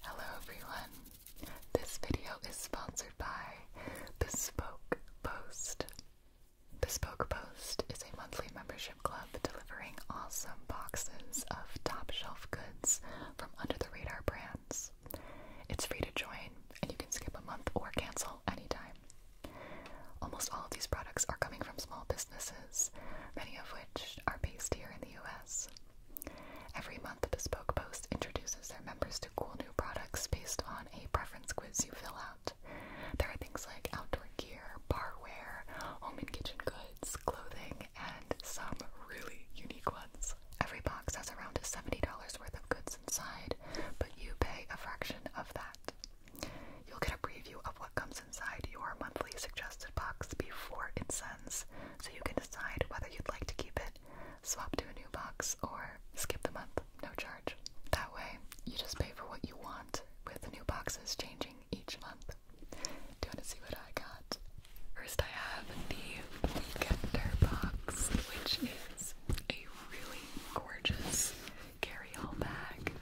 Hello everyone. This video is sponsored by Bespoke Post. Bespoke Post is a monthly membership club delivering awesome boxes of top shelf goods from under the radar brands. It's free to join and you can skip a month or cancel anytime. Almost all of these products are coming from small businesses, many of which are based here in the US. Every month, Bespoke Post introduces their members to cool new products based on a preference quiz you fill out. There are things like outdoor gear, barware, home and kitchen goods, clothing, and some really unique ones. Every box has around $70 worth of goods inside, but you pay a fraction of that. You'll get a preview of what comes inside your monthly suggested box before it's sent so you can decide whether you'd like to keep it, swap to a new box, or skip the month, no charge. That way, you just pay for what you want, with new boxes changing each month. Do you want to see what I got? First, I have the Weekender box, which is a really gorgeous carry-all bag.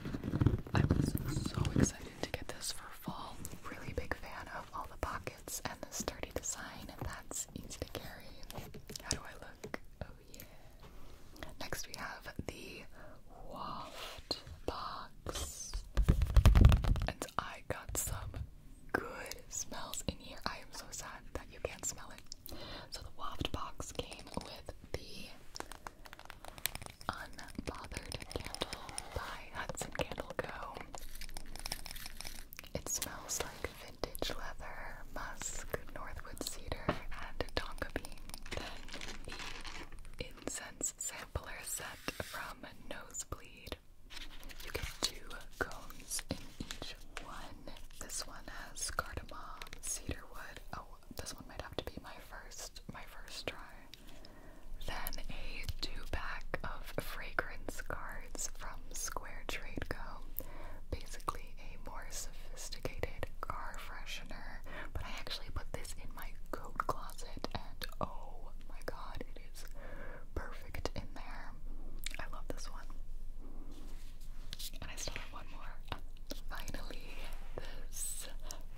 I was so excited to get this for fall. Really big fan of all the pockets and the sturdy design, and that's easy to carry. How do I look? Oh yeah. Next we have the waft box. And I got some good smells in here. I am so sad that you can't smell it. So the waft box came with the Unbothered Candle by Hudson Candle Co. It smells like vintage leather, musk, northwood cedar, and tonka bean. Then incense sampler set from Nosebleed. You get two cones in each one. This one has cardamom, cedarwood. Oh, this one might have to be my first, my first try. Then a two pack of fragrance cards from Square Trade Co. Basically a more sophisticated car freshener, but I actually put this in my coat closet and oh my god, it is perfect in there. I love this one. And I still have one more. Finally, this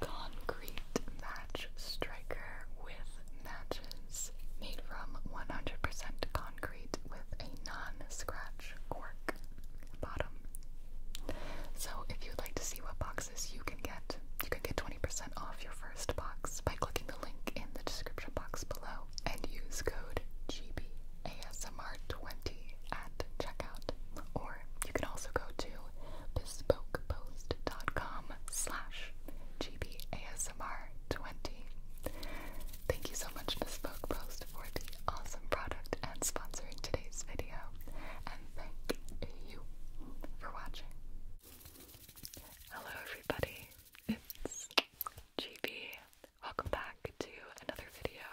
concrete match striker with matches made from 100% concrete with a non-scratch cork bottom. So if you'd like to see what boxes you can get, you can get 20% off your first box by clicking the link in the description box below and use code GBASMR20 at checkout. Or you can also go to bespokepost.com slash GBASMR ASMR20. Thank you so much, Bespoke Post, for the awesome product and sponsoring today's video. And thank you for watching. Hello, everybody. It's GB. Welcome back to another video.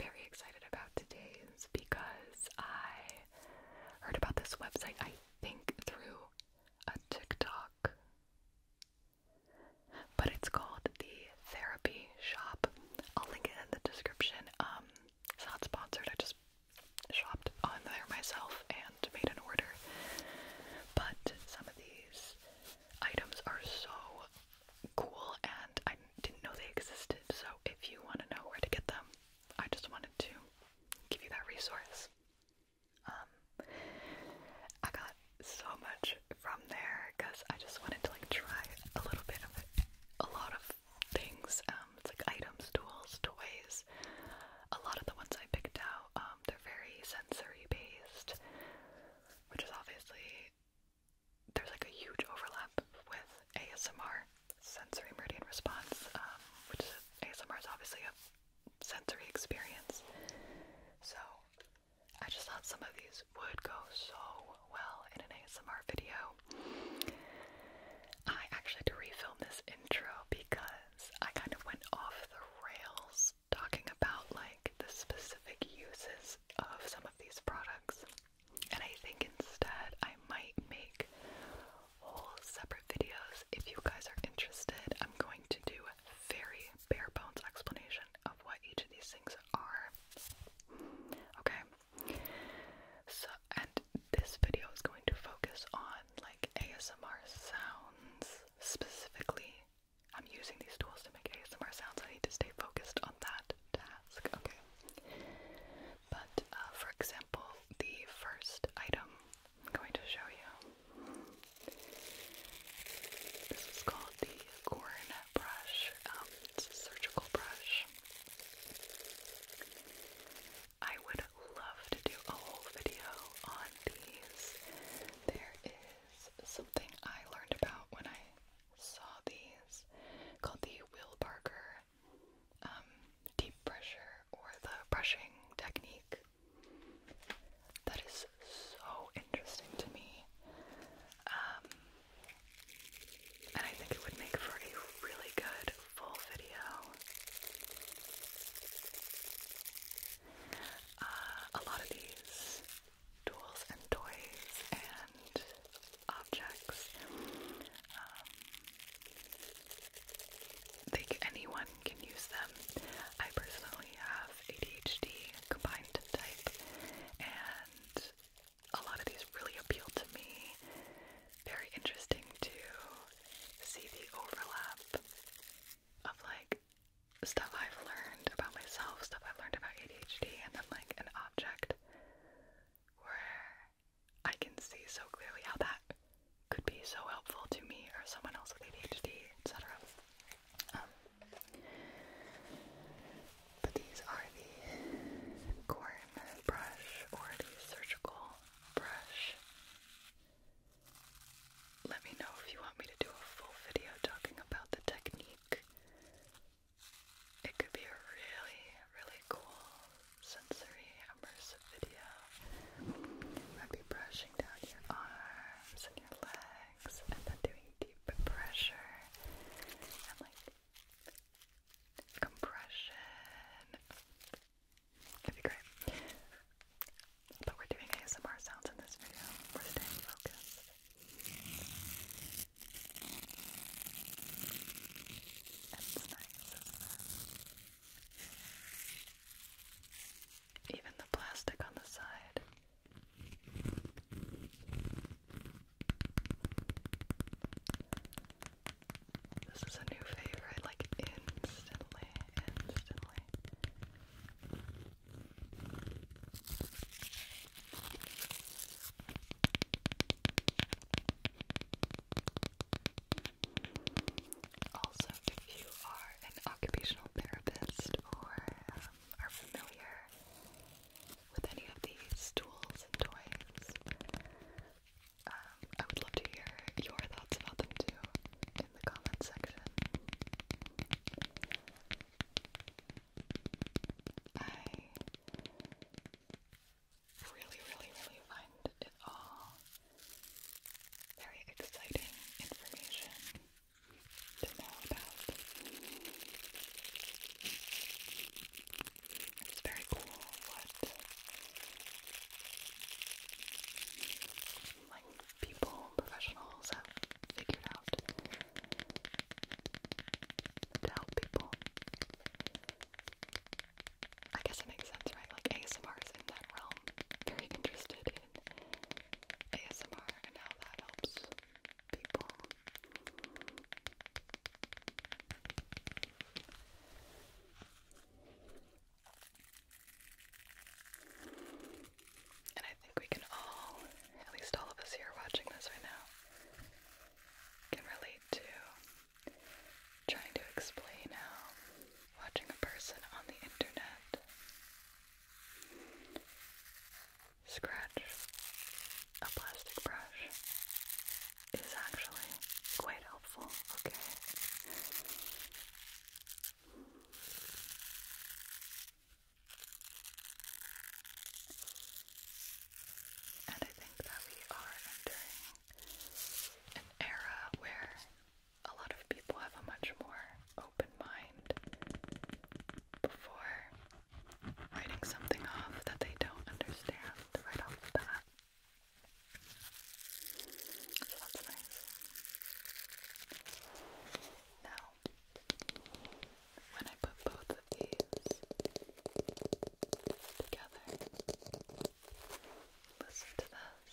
Very excited about today's because I heard about this website, I think, through a TikTok, but it's called the Therapy Shop. I'll link it in the description. Um, it's not sponsored. I just shopped on there myself and made an order. But some of these items are so cool, and I didn't know they existed. So if you want to know where to get them, I just wanted to give you that resource. Um, I got so much from there because I just wanted to like try a little bit of a lot of things. Um, it's like items, tools, toys. A lot of the ones I picked out, um, they're very sensory based, which is obviously there's like a huge overlap with ASMR, sensory meridian response, um, which is ASMR is obviously a sensory experience. So I just thought some of these would go so well in an ASMR video. I actually had to refilm this intro because I kind of went off the rails talking about like the specific uses of some of these products. And I think instead I might make whole separate videos if you guys are interested. I'm going to do a very bare bones explanation of what each of these things are. Okay. So, and this video is going to focus on like ASMR sounds specifically. I'm using these tools to make ASMR sounds. I need to stay focused on that task. Okay. But uh, for example, the first item I'm going to show you. This is called the Gorin brush. Um, it's a surgical brush. I would love to do a whole video on these. There is something I learned about when I saw these called the Will Barker um, deep pressure or the brushing technique. That is so interesting to me. Um, and I think it would make for a really good full video. Uh, a lot of these tools and toys and objects um, think anyone can use them. I personally have ADHD combined type, and a lot of these really appeal to me. Very interesting to see the overlap of like stuff I've learned about myself, stuff I've learned about ADHD, and then like an object where I can see so clearly how that could be so helpful to me or someone else with ADHD, etc. Um, but these are the corn brush or the surgical brush. Let me know if you want me to do a full video talking about the technique. It could be a really, really cool sensory immersive video. i brushing down your arms and your legs and then doing deep pressure and like compression. It'd be great. But we're doing ASMR sounds in this video. We're staying focused. Even the plastic on the side. This is a new favorite, like instantly, instantly. Also, if you are an occupational therapist or um, are familiar with any of these tools and toys, um, I would love to hear your thoughts about them too in the comments section. I really, really, really find it all very exciting information to know about. It's very cool what like people, professionals have figured out to help people. I guess it makes sense, right? Like ASMR is in that realm. Very interested in ASMR and how that helps people. And I think we can all, at least all of us here watching this right now, can relate to trying to explain how watching a person on the internet scratch a plastic brush is actually quite helpful, okay? And I think that we are entering an era where a lot of people have a much more open mind before writing something off that they don't understand right off the bat. So that's nice. Now, when I put both of these together, listen to this.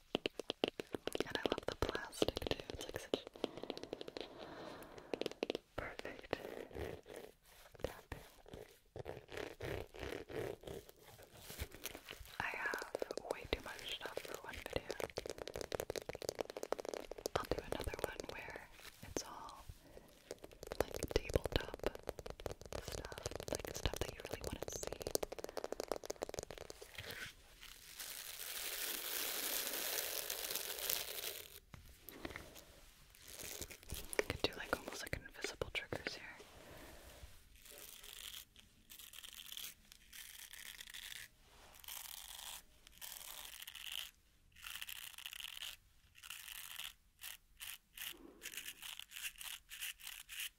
And I love the plastic too. It's like such perfect I have way too much stuff for one video. I'll do another one where it's all like tabletop stuff, like stuff that you really want to see. I could do like almost like invisible triggers here. Okay.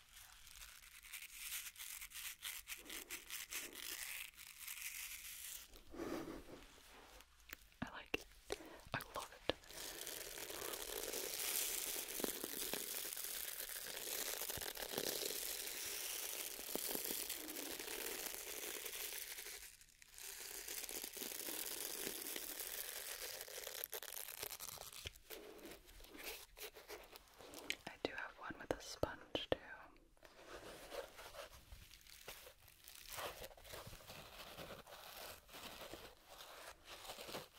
I like it. I love it. I do have one with a sponge too.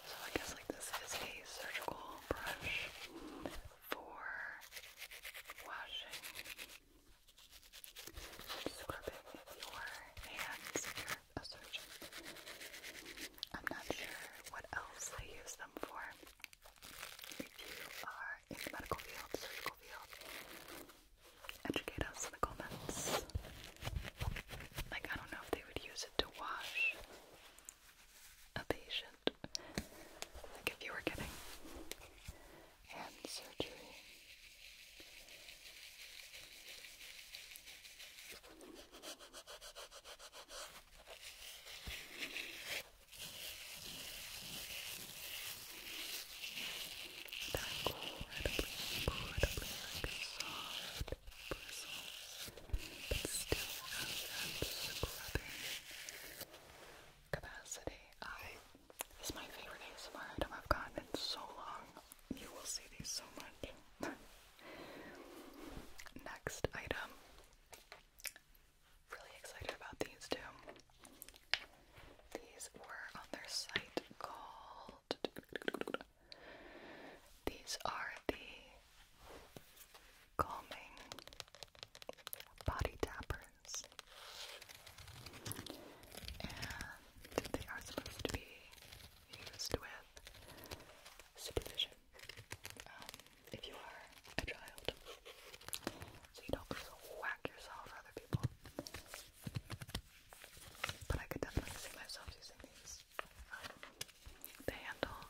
So I guess like this is a surgical brush for washing. Scrubbing your hands if a surgeon. I'm not sure what else they use them for. If you are in the medical field, surgical field, educate us in the comments. Like, I don't know if they would use it to wash a patient. Like, if you were getting hand surgery. They're incredibly, incredibly like soft bristles, but still have that scrubbing capacity. I, um, this is my favorite ASMR item I've gotten in so long. You will see these so much. Next item really excited about these two. These were on their site called. These are the calming body tappers, and they are supposed to be used with supervision much um, if you are a child, so you don't whack yourself or other people. But I could definitely see myself using these. Um, the handle.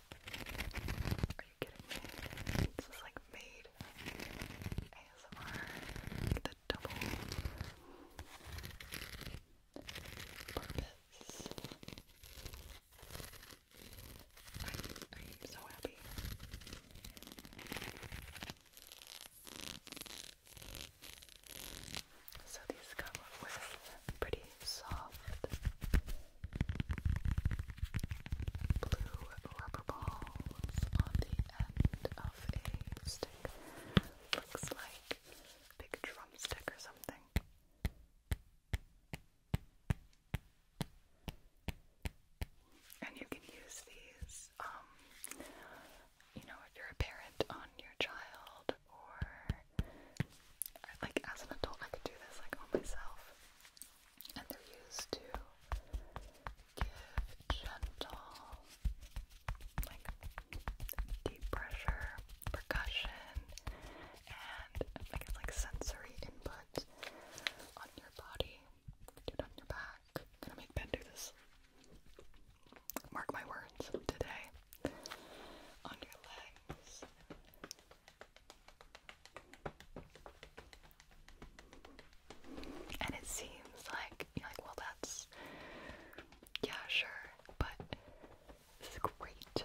Are you kidding me? This is like made ASMR. The double purpose. I, am so happy. So these come with pretty soft blue rubber balls on the end of a stick. Looks like a big drumstick or something. And you can use these, um, you know, if you're a parent on your child or like as an adult, I could do this like on myself. And they're used to give gentle, like deep pressure, percussion, and like sensory input on your body. Do on your back. gonna make Ben do this. Mark my words today. On your legs. And it seems like you're like, well, that's yeah, sure, but this is great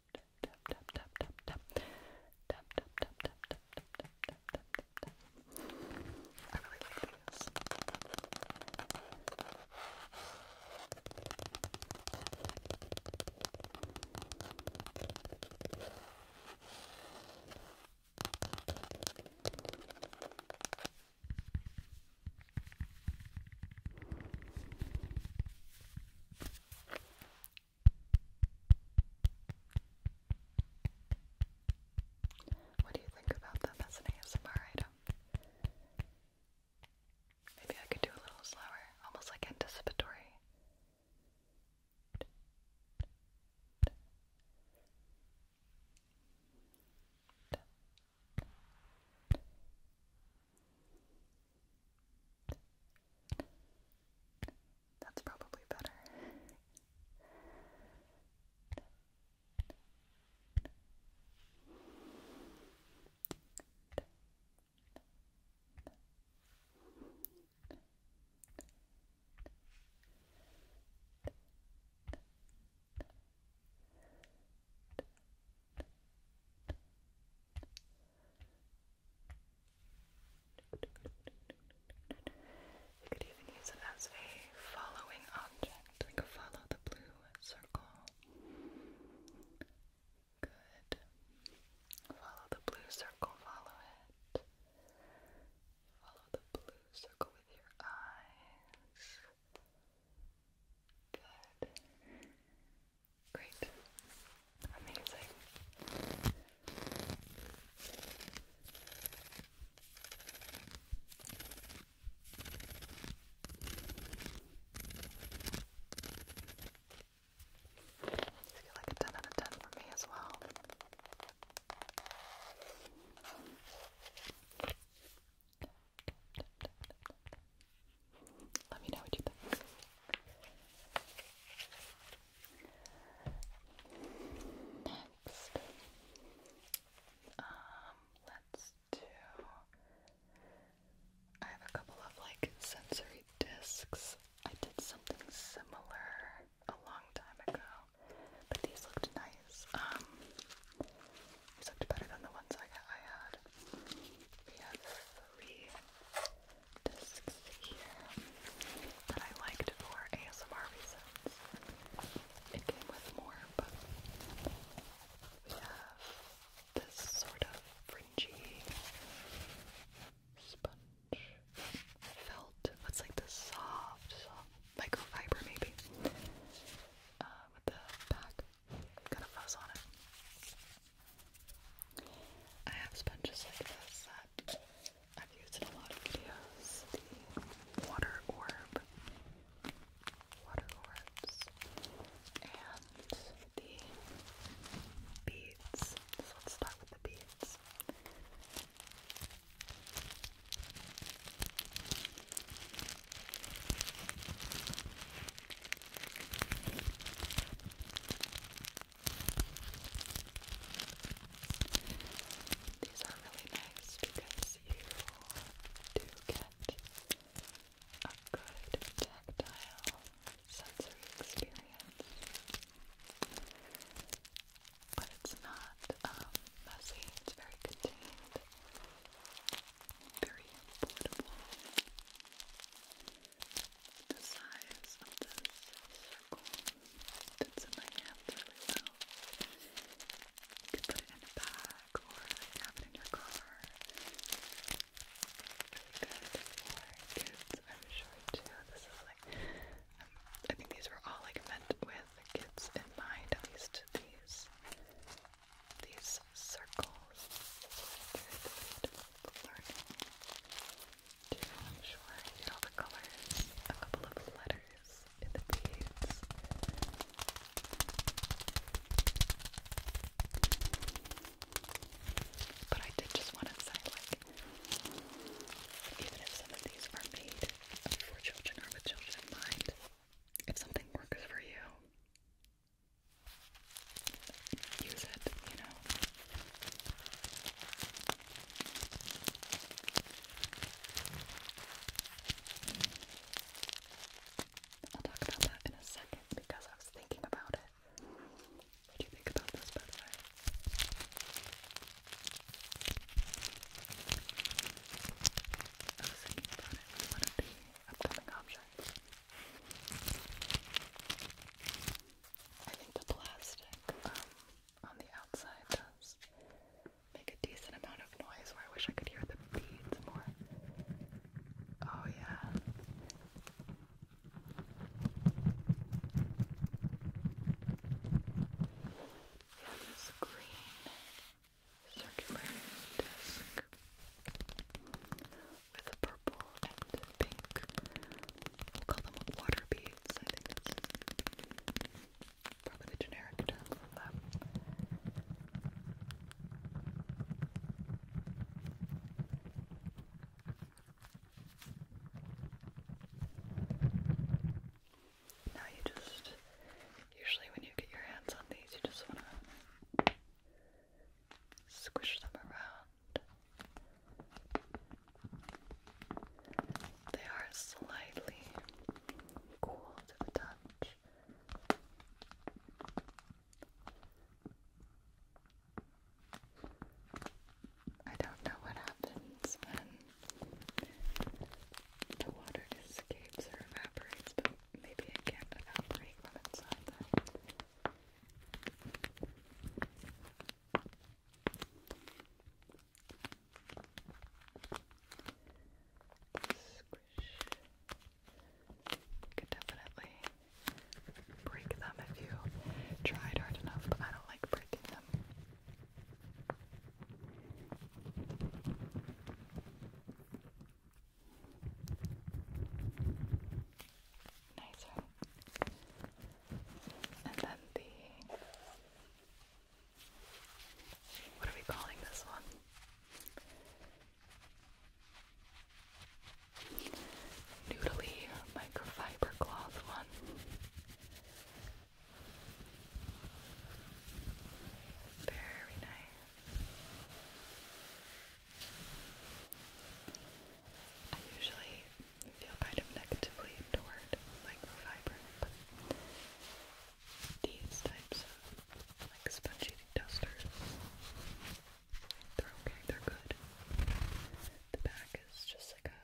tap tap tap tap tap tap tap tap tap tap tap tap tap tap tap I really like these what do you think about that as an ASMR item? Maybe I could do a little slower, almost like anticipatory. That's probably better. You could even use it as a following object, like follow the blue circle. Good. Follow the blue circle, follow it. Follow the blue circle with your eyes. Good. Great. Amazing. I feel like a 10 out of 10 for me as well. Let me know what you think. Next, um, let's do. I have a couple of like sensory discs. I did something similar a long time ago, but these looked nice. Um, looked better than the ones I, I had. We have three discs here that I liked for ASMR reasons. It came with more, but we have this sort of fringy sponge felt. That's like the soft, soft microfiber maybe. Uh, with the back. Got a fuzz on it. I have sponges like this I've used in a lot of videos. The water orb, water orbs, and the beads. let's start with the beads. These are really nice because you do get a good tactile sensory experience. But it's not um, very contained, very portable the size of this circle fits in my hands really well. it in a bag have it in your car. Really good for kids, I'm sure too. This is like, um, I think these were all like meant with kids in mind, at least these. These circles, learning to, I'm sure, hear all the colors, a couple of letters in the beads. But I did just want to say, like, even if some of these are made for children or with children in mind, if something works for you, use it, you know. I'll talk about that in a second because I was thinking about it. What do you think about this, by oh, I was thinking about it as one of the upcoming objects. I think the plastic um, on the outside does make a decent amount of noise I wish I could hear the beads more. Oh, yeah. Yeah, this green circular disc with purple and pink. We'll call them water beads. I think that's probably generic term Now you just usually when you get your hands on these you just wanna squish them around. They are slightly cool to the touch. I don't know what happens when the water escapes or evaporates, but maybe it can't evaporate from inside them. You could definitely break them if you tried hard enough, but I don't like breaking them nicer. And then the what are we calling this one? Noodly microfiber cloth one. Very nice. I usually feel kind of negatively toward microfiber, but these types of like spongy dusters, they're okay, they're good. The back is just like a,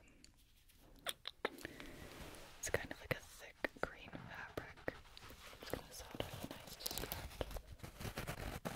it's kind of like a thick green fabric. It's gonna sound really nice to scratch.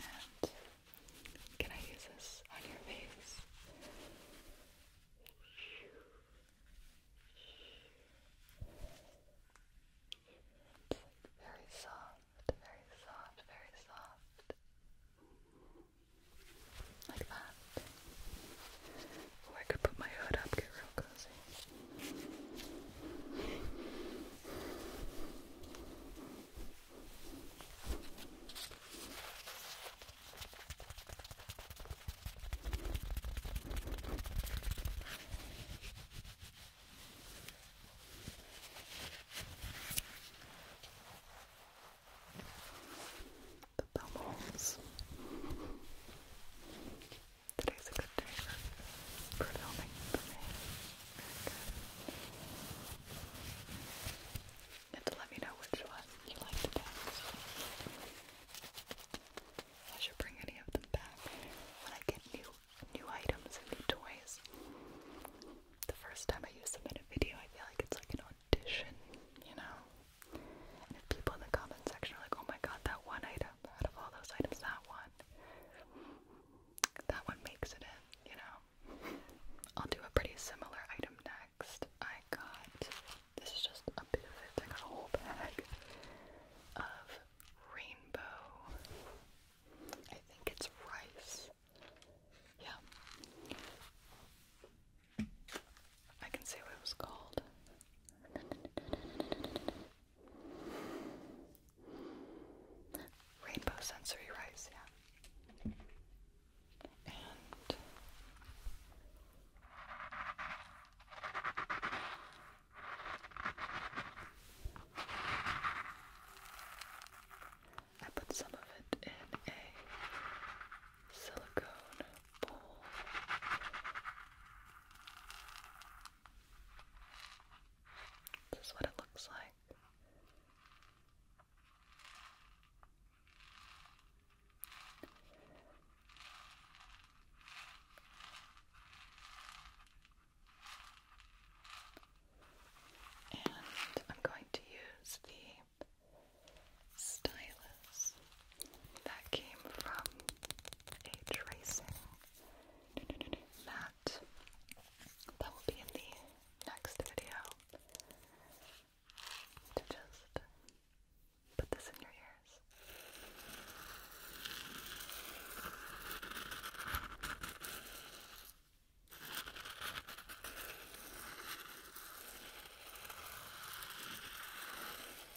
And can I use this on your face? It's like very soft, very soft, very soft. Like that. Or oh, I could put my hood up, get real cozy the bubbles. Today's a good day for, filming for me. And to let me know which one you like the best. I should bring any of them back when I get new new items and new toys. The first time I used them in a video, I feel like it's like an audition, you know? if people in the comment section are like, oh my god, that one item out of all those items, that one, that one makes it in, you know? I'll do a pretty similar item next. I got, this is just a bit of it, I got a whole bag of rainbow, I think it's rice. Yeah. I can say what it was called. Rainbow sensory rice, yeah. And I put some of it in a silicone bowl this is what it looks like. And I'm going to use the stylus that came from a tracing mat that will be in the next video to just put this in your ears.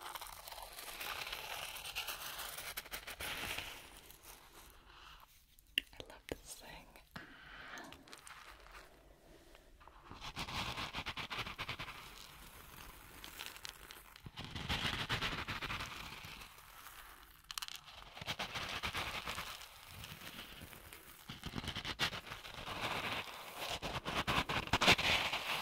I love this thing. Ah. I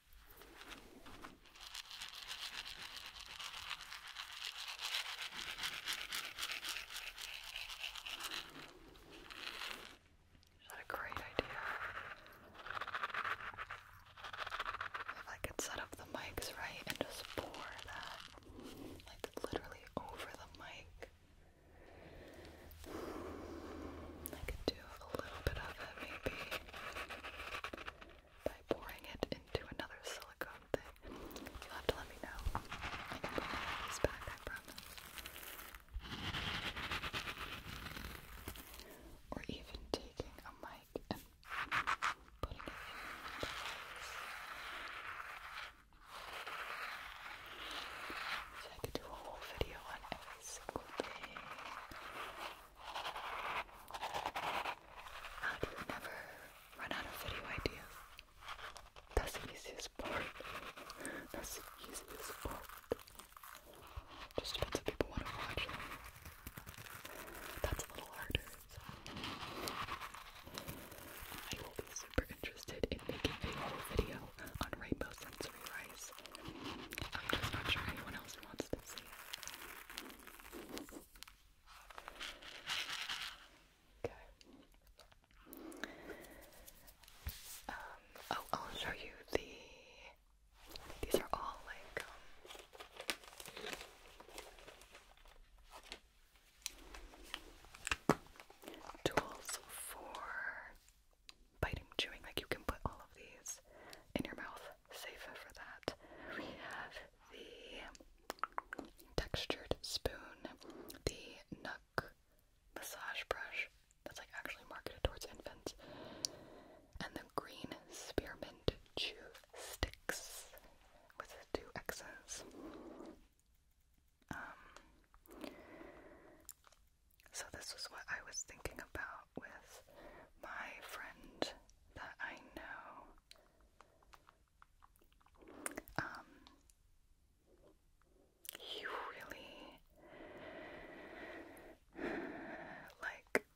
Is that a great idea? If I could set up the mics right and just pour that, like literally over the mic, I do a little bit of it maybe by pouring it into another silicone thing. you to let me know. I can put this back, I promise. Or even taking a mic and putting it in I could do a whole video on every single thing. How do never run out of video ideas? That's the easiest part. That's the easiest part. Just depends if people want to watch That's a little harder. I will be super interested in making a whole video on rainbow sensory rice. I'm just not sure anyone else wants to see Okay. oh, I'll show you the. These are all like. tools for biting, chewing. Like you can put all of these in your mouth safer for that. We have the textured spoon, the Nook massage brush that's like actually marketed towards infants, and the green spearmint chew sticks with two X's. Um, so this is what I was thinking about with my friend that I know. Um, he really like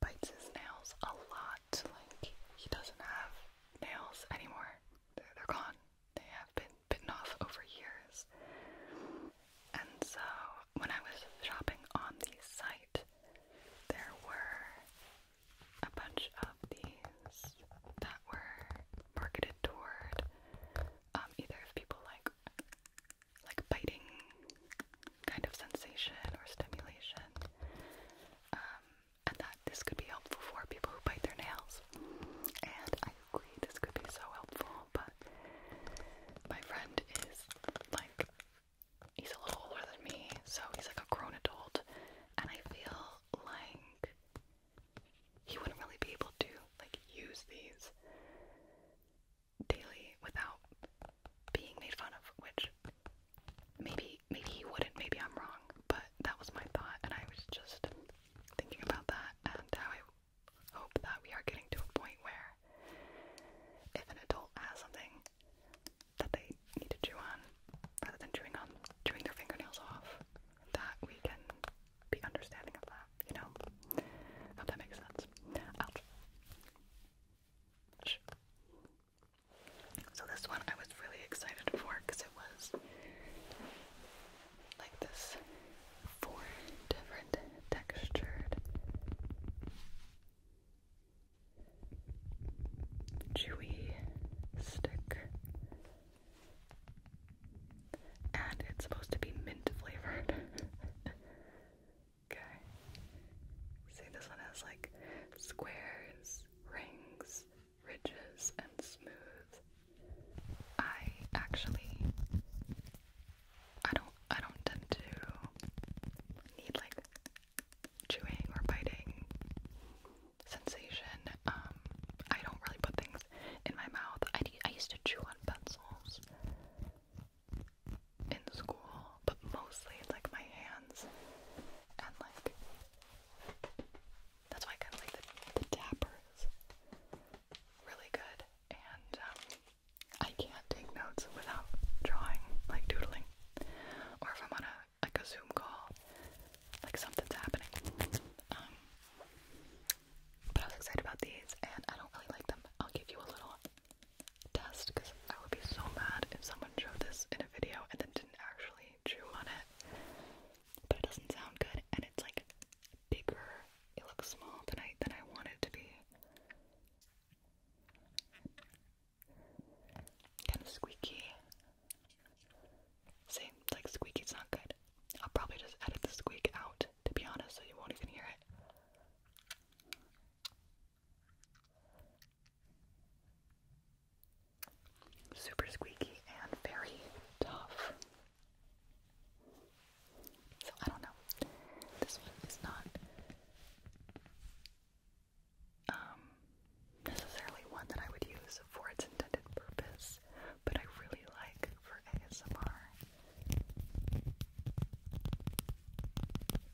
bites his nails a lot. Like he doesn't have nails anymore. they're gone. They have been bitten off over years. And so when I was shopping on the site, there were a bunch of these that were marketed toward um, either if people like like biting kind of sensation or stimulation, um, and that this could be helpful for people who bite their nails. And I agree, this could be so helpful small, but my friend is like he's a little older than me, so he's like a grown adult, and I feel like he wouldn't really be able to like use these daily without being made fun of, which maybe maybe he wouldn't, maybe I'm wrong, but that was my thought and I was just thinking about that and how I hope that we are getting to a point where if an adult has something that they need to chew on, rather than chewing on chewing their fingernails off, that we can be understanding of that, you know? I hope that makes sense. Ouch. So this one I was really excited for because it was like this four different textured chewy stick. And it's supposed to be mint flavored. okay. See, this one has like squares, rings, ridges, and smooth. I actually I don't I don't tend to need like chewing or biting sensation. Um I don't really put things in my mouth. I, I used to chew on pencils in school, but mostly like my hands and like that's why I kind of like the, the dappers really good and um, I can't take notes without drawing, like doodling. Or if I'm on a like a Zoom call, like something's happening. Um, but I was excited about these and I don't really like them. I'll give you a little test because I would be so mad if someone showed this in a video and then didn't actually chew on it. But it doesn't sound good and it's like bigger. It looks small tonight than I want it to be. Kind of squeaky. See, like squeaky. It's not good. I'll probably just edit the squeak out, to be honest, so you won't even hear it. Super squeaky and very tough. So I don't know. This one is not um, necessarily one that I would use for its intended purpose, but I really like for ASMR.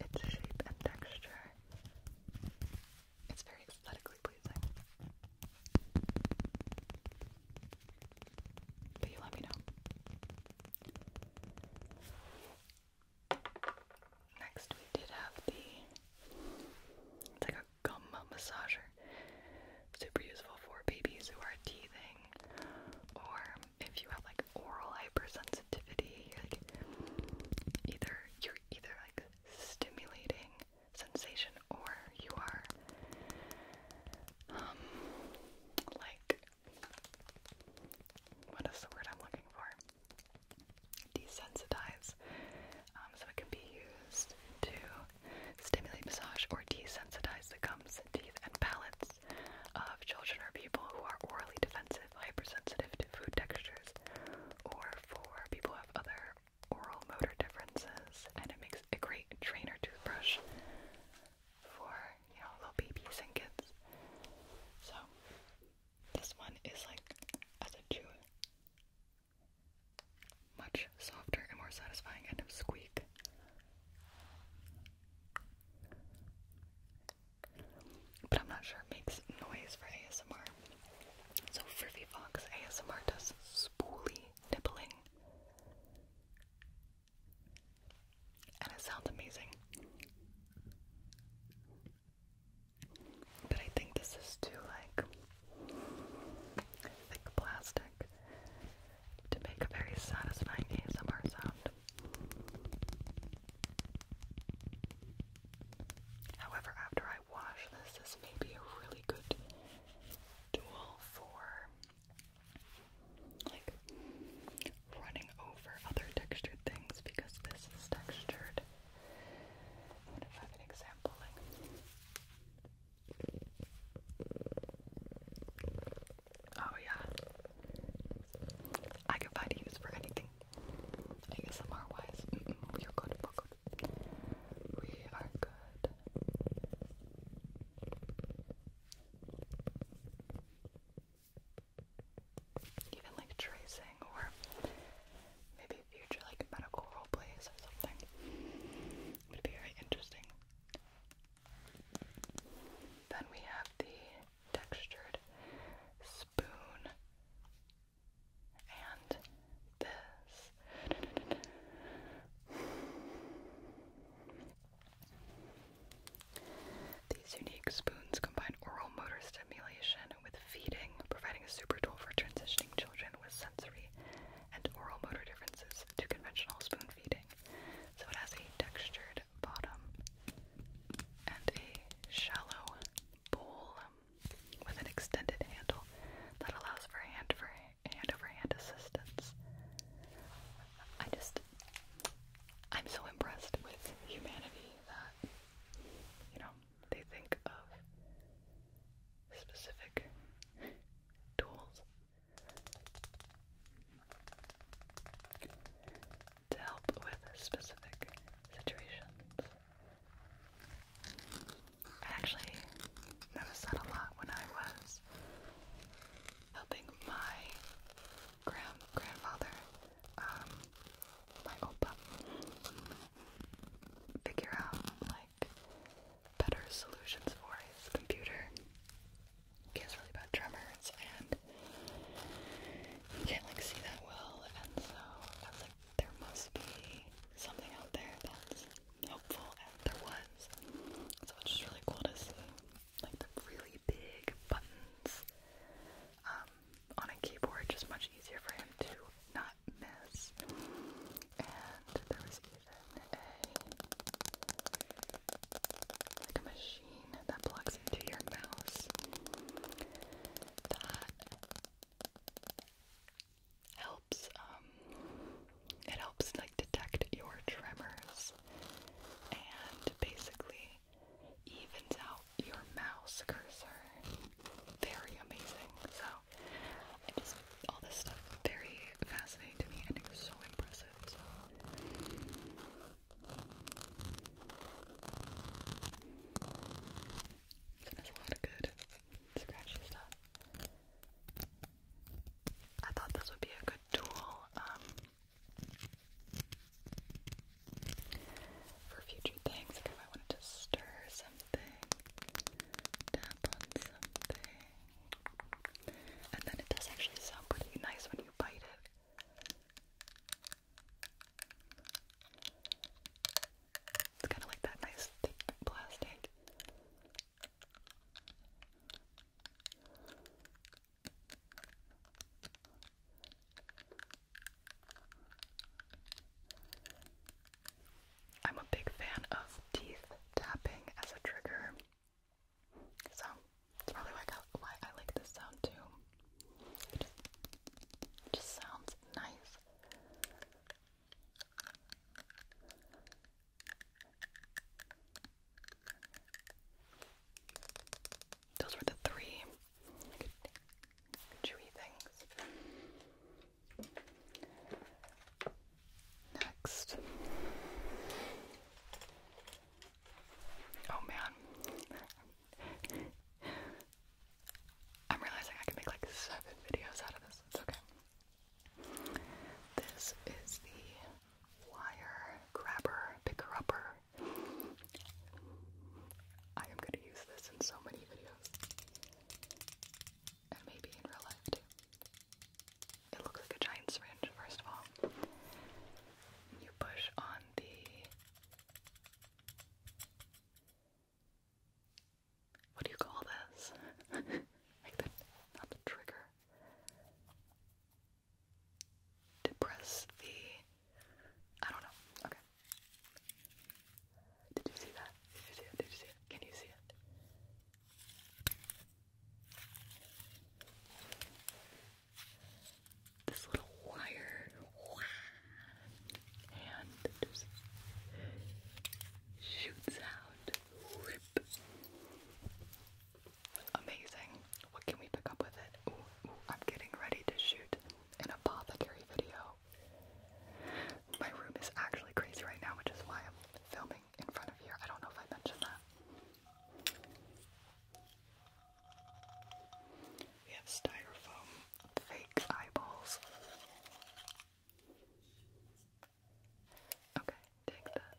Its shape and texture. It's very aesthetically pleasing. But you let me know. Next, we did have the. It's like a gum massager. Super useful for babies who are teething, or if you have like oral hypersensitivity, like either you're either like stimulating sensation or you are um like what is the word I'm looking for? Desensitize. Um, so it can be used to stimulate, massage, or desensitize the gums, teeth, and palates of children or people who are orally defensive, hypersensitive to food textures, or for people who have other oral motor differences. And it makes a great trainer toothbrush for, you know, little babies and kids. So, this one is like, as a chew, much softer and more satisfying kind of squeak. But I'm not sure it makes noise for ASMR. So Friffy Fox ASMR does spooly nibbling. And it sounds amazing. But I think this is too, like, thick plastic to make a very satisfying ASMR sound. However, after I wash this, this may be a really good tool for like running over other textured things because this is textured. I wonder if an example Oh yeah. I can find use for anything. I guess we are good, we're good. We are good. Even like tracing or maybe future like medical role plays or something. Would be very interesting. Then we have the textured spoon and this. These unique spoons combine oral motor stimulation with feeding, providing a super tool for transitioning children with sensory and oral motor differences to conventional spoon feeding. So it has a textured bottom and a shallow bowl with an extended handle that allows for hand over hand assistance. I just, I'm so impressed with humanity that, you know, they think of specific tools to help with specific situations. I actually noticed that a lot when I was helping my grand grandfather, um, my opa, figure out like better solutions for his computer. He has really bad tremors and you can't like see that well, and so I was like, there must be something out there that's helpful, and there was. So it's just really cool to see like the really big buttons um, on a keyboard, just much easier for him to not miss. And there was even a machine that plugs into your mouse that helps um, it helps like detect your tremors and basically evens out your mouse cursor. Very amazing. So I just all this stuff very fascinating to me and it's so impressive. So there's a lot of good scratchy stuff. I thought this would be a good tool um, for future things, like if I wanted to stir something, tap on something, and then it does actually sound pretty nice when you bite it. It's kind of like that nice thick plastic. I'm a big fan of teeth tapping as a trigger, so it's probably why I, like this sound too. it just sounds nice. Those were the three chewy things. Next. Oh man. I'm realizing I can make like seven videos out of this. okay. This is the wire grabber, picker upper. I am going to use this in so many videos. And maybe in real life too. It looks like a giant syringe, first of all. You push on the. What do you call this? like the. not the trigger depress the. I don't know. Okay. Did you see that? Did you see it? Did you see it? Can you see it? This little wire and just shoots out. Amazing. What can we pick up with it? I'm getting ready to shoot an apothecary video. My room is actually crazy right now, which is why I'm filming in front of here. I don't know if I mentioned that. We have styrofoam fake eyeballs. Okay, take this.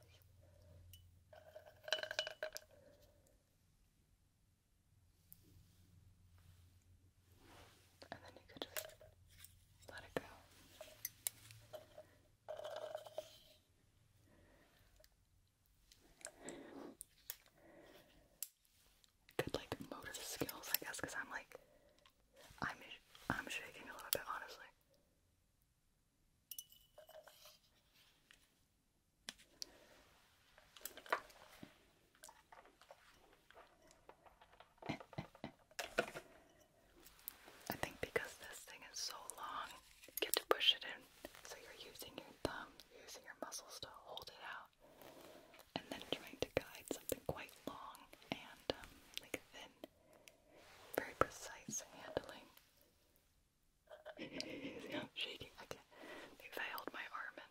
And then you could just let it go. Good like motor skills, I guess, because I'm like, I'm I'm shaking a little bit, honestly. I think because this thing is so long, you get to push it in. So you're using your thumb, using your muscles to hold it out, and then trying to guide something quite long and um, like thin, very precise handling. I'm shaking. I can't. I hold my arm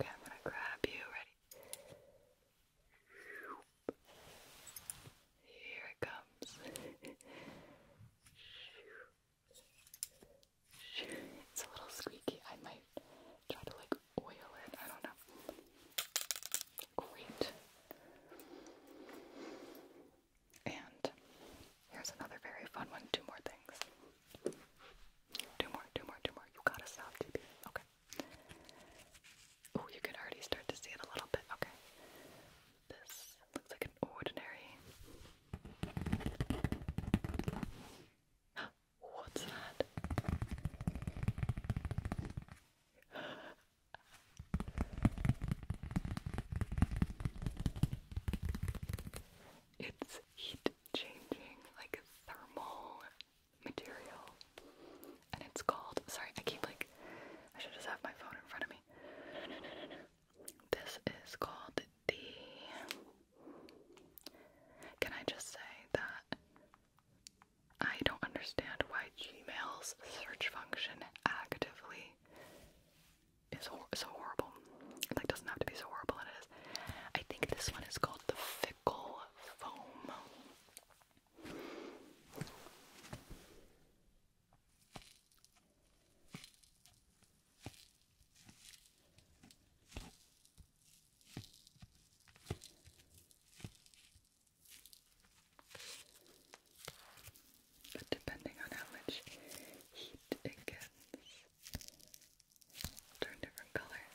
Okay, I'm gonna grab you. Ready? Here it comes. It's a little squeaky. I might try to like oil it. I don't know. Great. And here's another very fun one. Two more things. Two more, two more, two more. You gotta stop, Okay. Oh, you can already start to see it a little bit. Okay. This looks like an ordinary. What's that? it's heat changing, like a thermal material. And it's called, sorry, I keep like, I should just have my phone in front of me. This is called the can I just say that I don't understand why Gmail's search function actively is so horrible. like, doesn't have to be so horrible, it is. I think this one is called the Fickle Foam. But depending on how much heat it gets, turn different colors.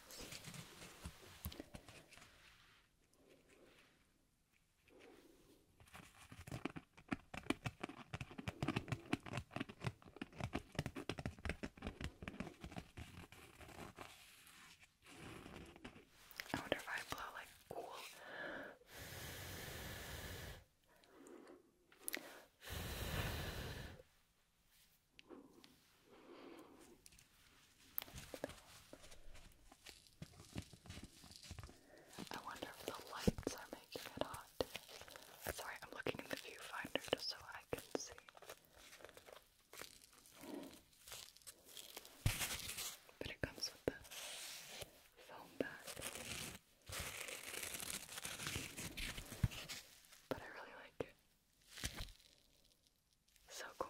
I wonder if I blow like cool. I wonder if the lights are making it hot. Sorry, I'm looking in the viewfinder just so I can see. But it comes with that foam back. But I really like it. So cool.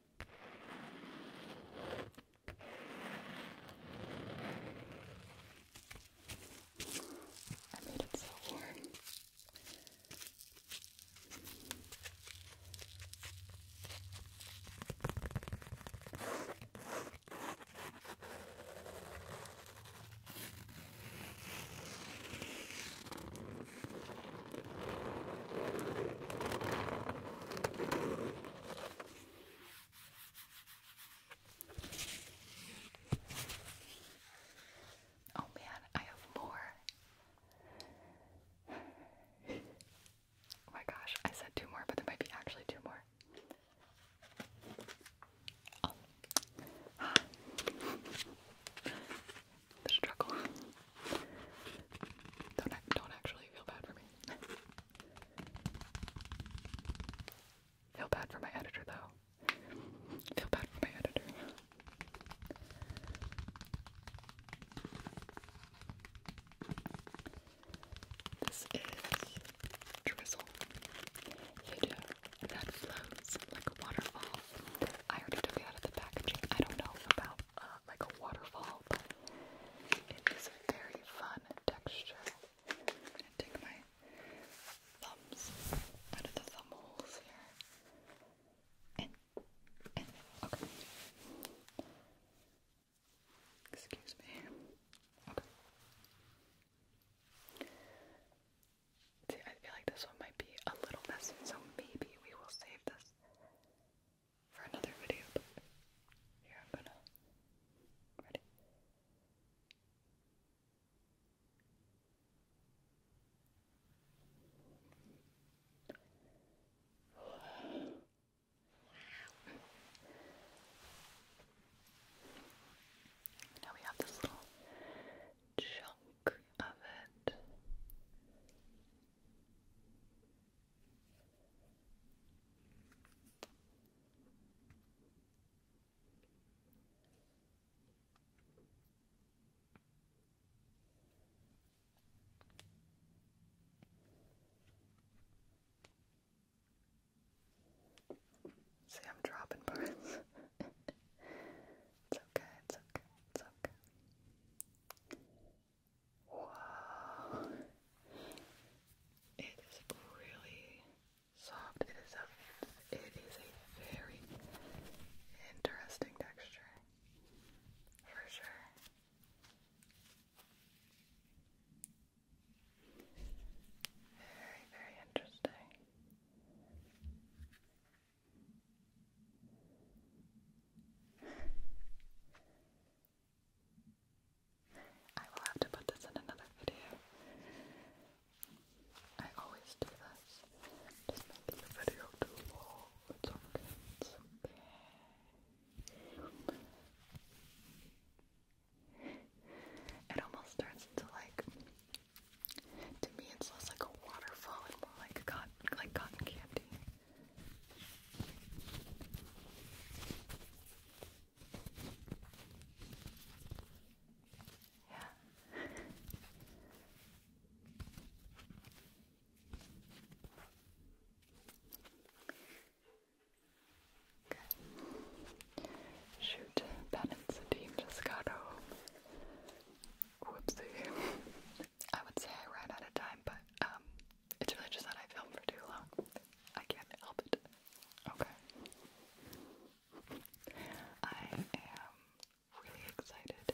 I made it so warm. Oh man, I have more. oh my gosh, I said two more, but there might be actually two more. Oh. the struggle. Don't, don't actually feel bad for me. Feel bad for my editor, though. Feel bad for my editor. This is drizzle. You do. That flows like a waterfall. I already took it out of the packaging. I don't know about uh, like a waterfall, but it is a very fun texture. I'm gonna take my thumbs out of the holes here. okay. Excuse me. Okay. See, I feel like this one might be a little messy, so maybe we will save this for another video, here I'm gonna. Ready? Now we have this little chunk of it. See, I'm dropping parts. it's okay, it's okay, it's okay. Wow. It is really soft. It is a, it is a very interesting texture. For sure. Very, very interesting. I will have to put this in another video. I always do this. Just making the video too long. It's okay. It almost turns into like to me it's less like a waterfall and more like cotton like cotton candy. Yeah. Okay. Shoot, Ben and Sadim just Whoopsie. I would say I ran out of time, but um, it's really just that I film for too long. I can't help it. Okay. I am really excited to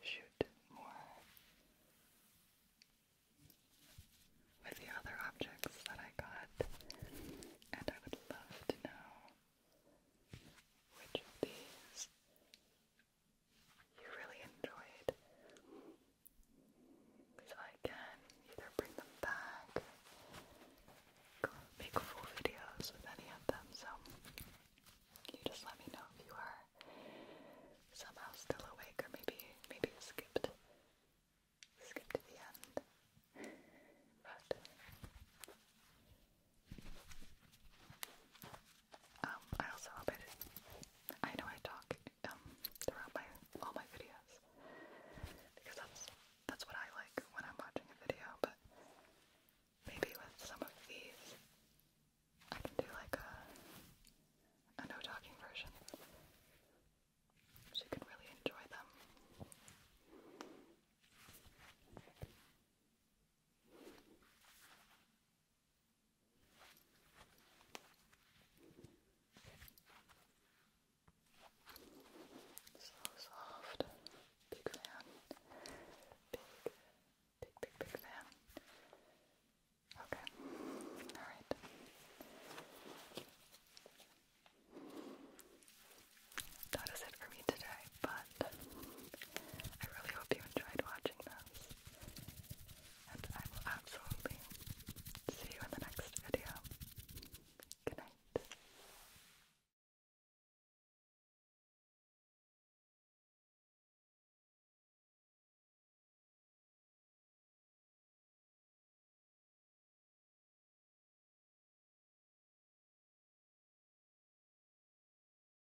shoot more with the other objects that I got, and I would love to know which of these you really enjoyed. So I can either bring them back, make full videos with any of them, so you just let me know if you are somehow still awake or maybe maybe skipped skipped to the end. But um, I also hope I I know I talk um throughout my all my videos because that's that's what I like when I'm watching a video. But maybe with some of these, I can do like a a no talking version, so you can really enjoy them. So soft. Big fan. Big, big, big, big fan. Okay. Alright. That is it for me today, but I really hope you enjoyed watching this. And I will absolutely see you in the next video. Good night.